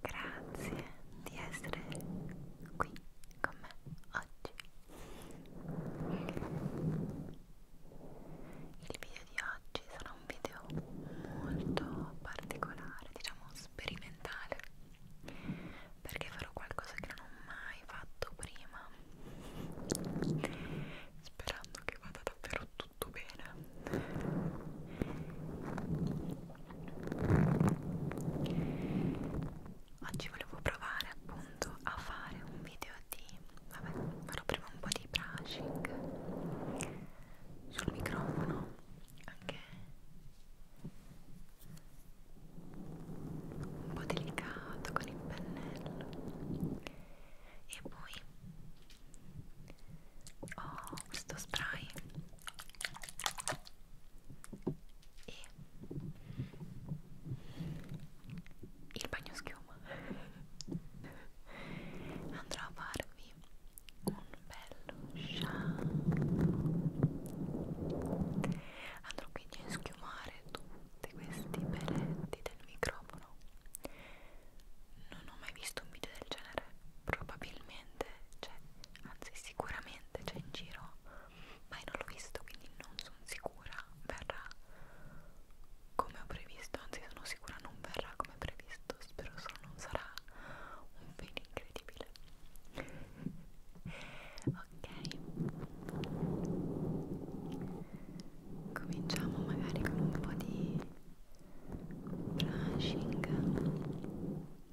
Grazie di essere qui con me oggi. Il video di oggi sarà un video molto particolare, diciamo sperimentale, perché farò qualcosa che non ho mai fatto prima, sperando che vada davvero tutto bene. Oggi volevo provare appunto a fare un video di... vabbè, farò prima un po' di brushing sul microfono anche un po' delicato con il pennello e poi ho questo spray e il bagno schiuma andrò a farvi un bello shampoo andrò quindi a schiumare tutti questi peletti del microfono non ho mai visto un video del genere probabilmente, cioè, anzi sicuramente gente c'è cioè, in giro ma io non l'ho visto quindi non sono sicura verrà come ho previsto anzi sono sicura non verrà come previsto spero solo non sarà un film incredibile ok cominciamo magari con un po' di brushing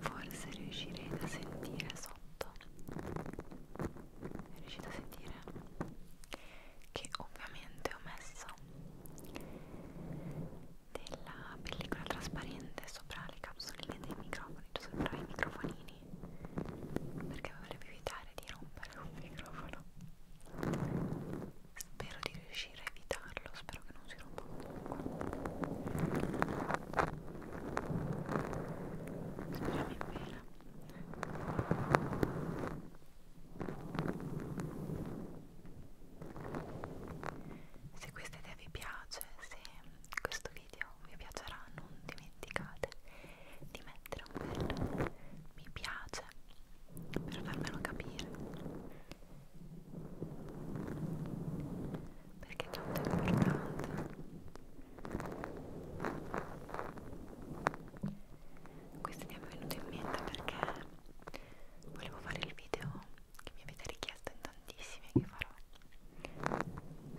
forse riuscirete a sentire sotto riuscite a sentire che ovviamente ho messo della pellicola trasparente sopra le capsuline dei microfoni cioè sopra i microfonini perché volevo evitare di rompere un microfono spero di riuscire a evitarlo spero che non si rompa speriamo in bene se questa idea vi piace se questo video vi piacerà non dimenticate di mettere un bel mi piace per farmelo capire perché è tanto importante questo mi è venuto in mente perché volevo fare il video che mi avete richiesto in tantissimi che farò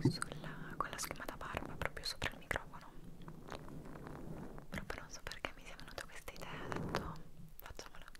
sulla, con la schiuma da barba proprio sopra il microfono proprio non so perché mi sia venuta questa idea ho detto facciamola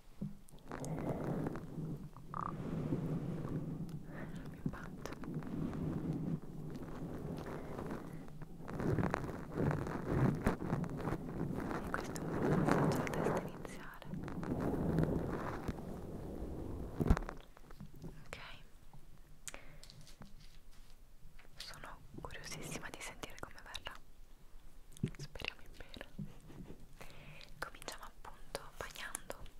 mio patto e questo è un buon passaggio alla testa iniziale ok sono curiosissima di sentire come verrà speriamo in bene cominciamo appunto bagnando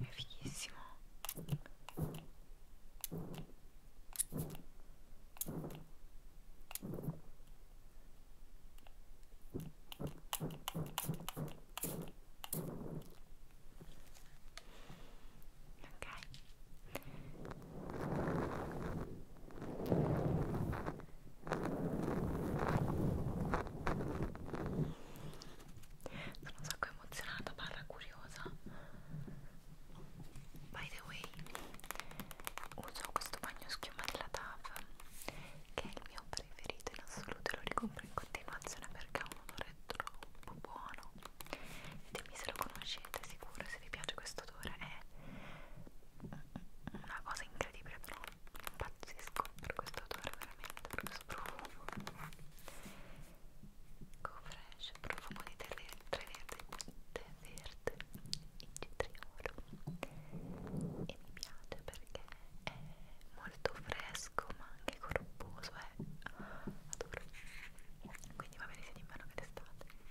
È fighissimo. Ok, sono un sacco emozionata, parla curiosa. By the way, uso questo bagno schiuma della TAV che è il mio preferito in assoluto, lo ricompro in continuazione perché ha un odore troppo buono. Ditemi se lo conoscete, sicuro se vi piace questo odore è una cosa incredibile però pazzesco per questo odore veramente per questo profumo Cofresh ecco, profumo di tè verde tè verde in cetriolo e mi piace perché è molto fresco ma anche corposo è eh? adoro quindi va bene sia d'inverno che d'estate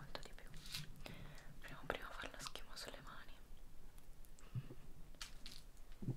molto di più prima prima far la schiuma sulle mani ok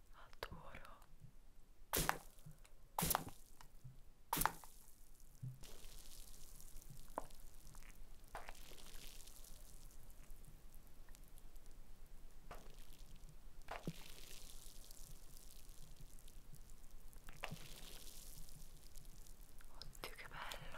adoro Oddio che bello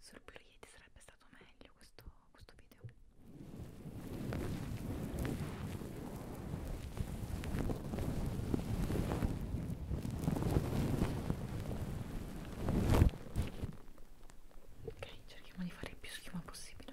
Sul blu Yeti sarebbe stato meglio questo, questo video. Ok, cerchiamo di fare il più schiuma possibile.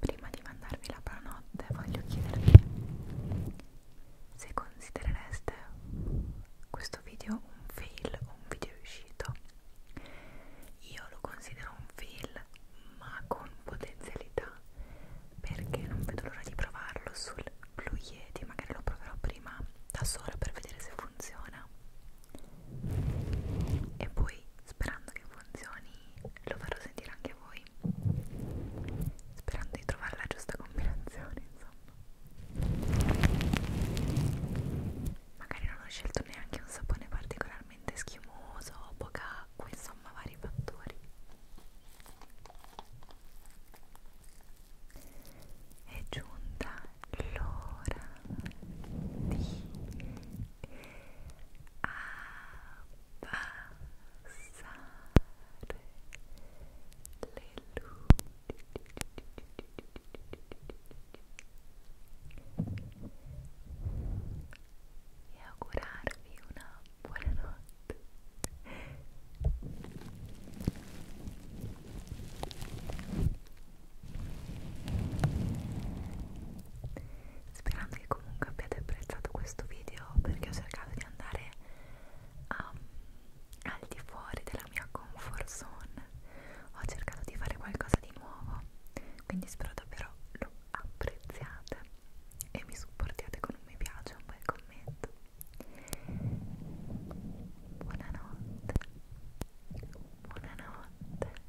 prima di mandarvi la buonanotte voglio chiedervi se considerereste questo video un fail o un video riuscito io lo considero un fail ma con potenzialità perché non vedo l'ora di provarlo sul Blue Yeti magari lo proverò prima da sola per vedere se funziona e poi sperando che funzioni lo farò sentire anche a per voi sperando di trovare la giusta combinazione insomma magari non ho scelto neanche un sapone particolarmente schiumoso poca acqua insomma vari fattori è giunta l'ora di abbassare le luci e augurarvi una buonanotte sperando che comunque abbiate apprezzato questo video perché ho cercato di andare um, al di fuori della mia comfort zone ho cercato di fare qualcosa di nuovo quindi spero davvero lo apprezziate e mi supportiate con un mi piace un bel commento buonanotte buonanotte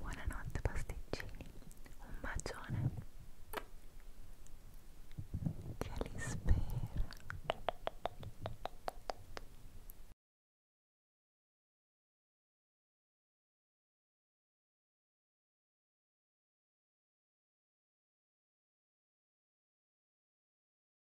Buonanotte pasticcini, un bacione che li spera.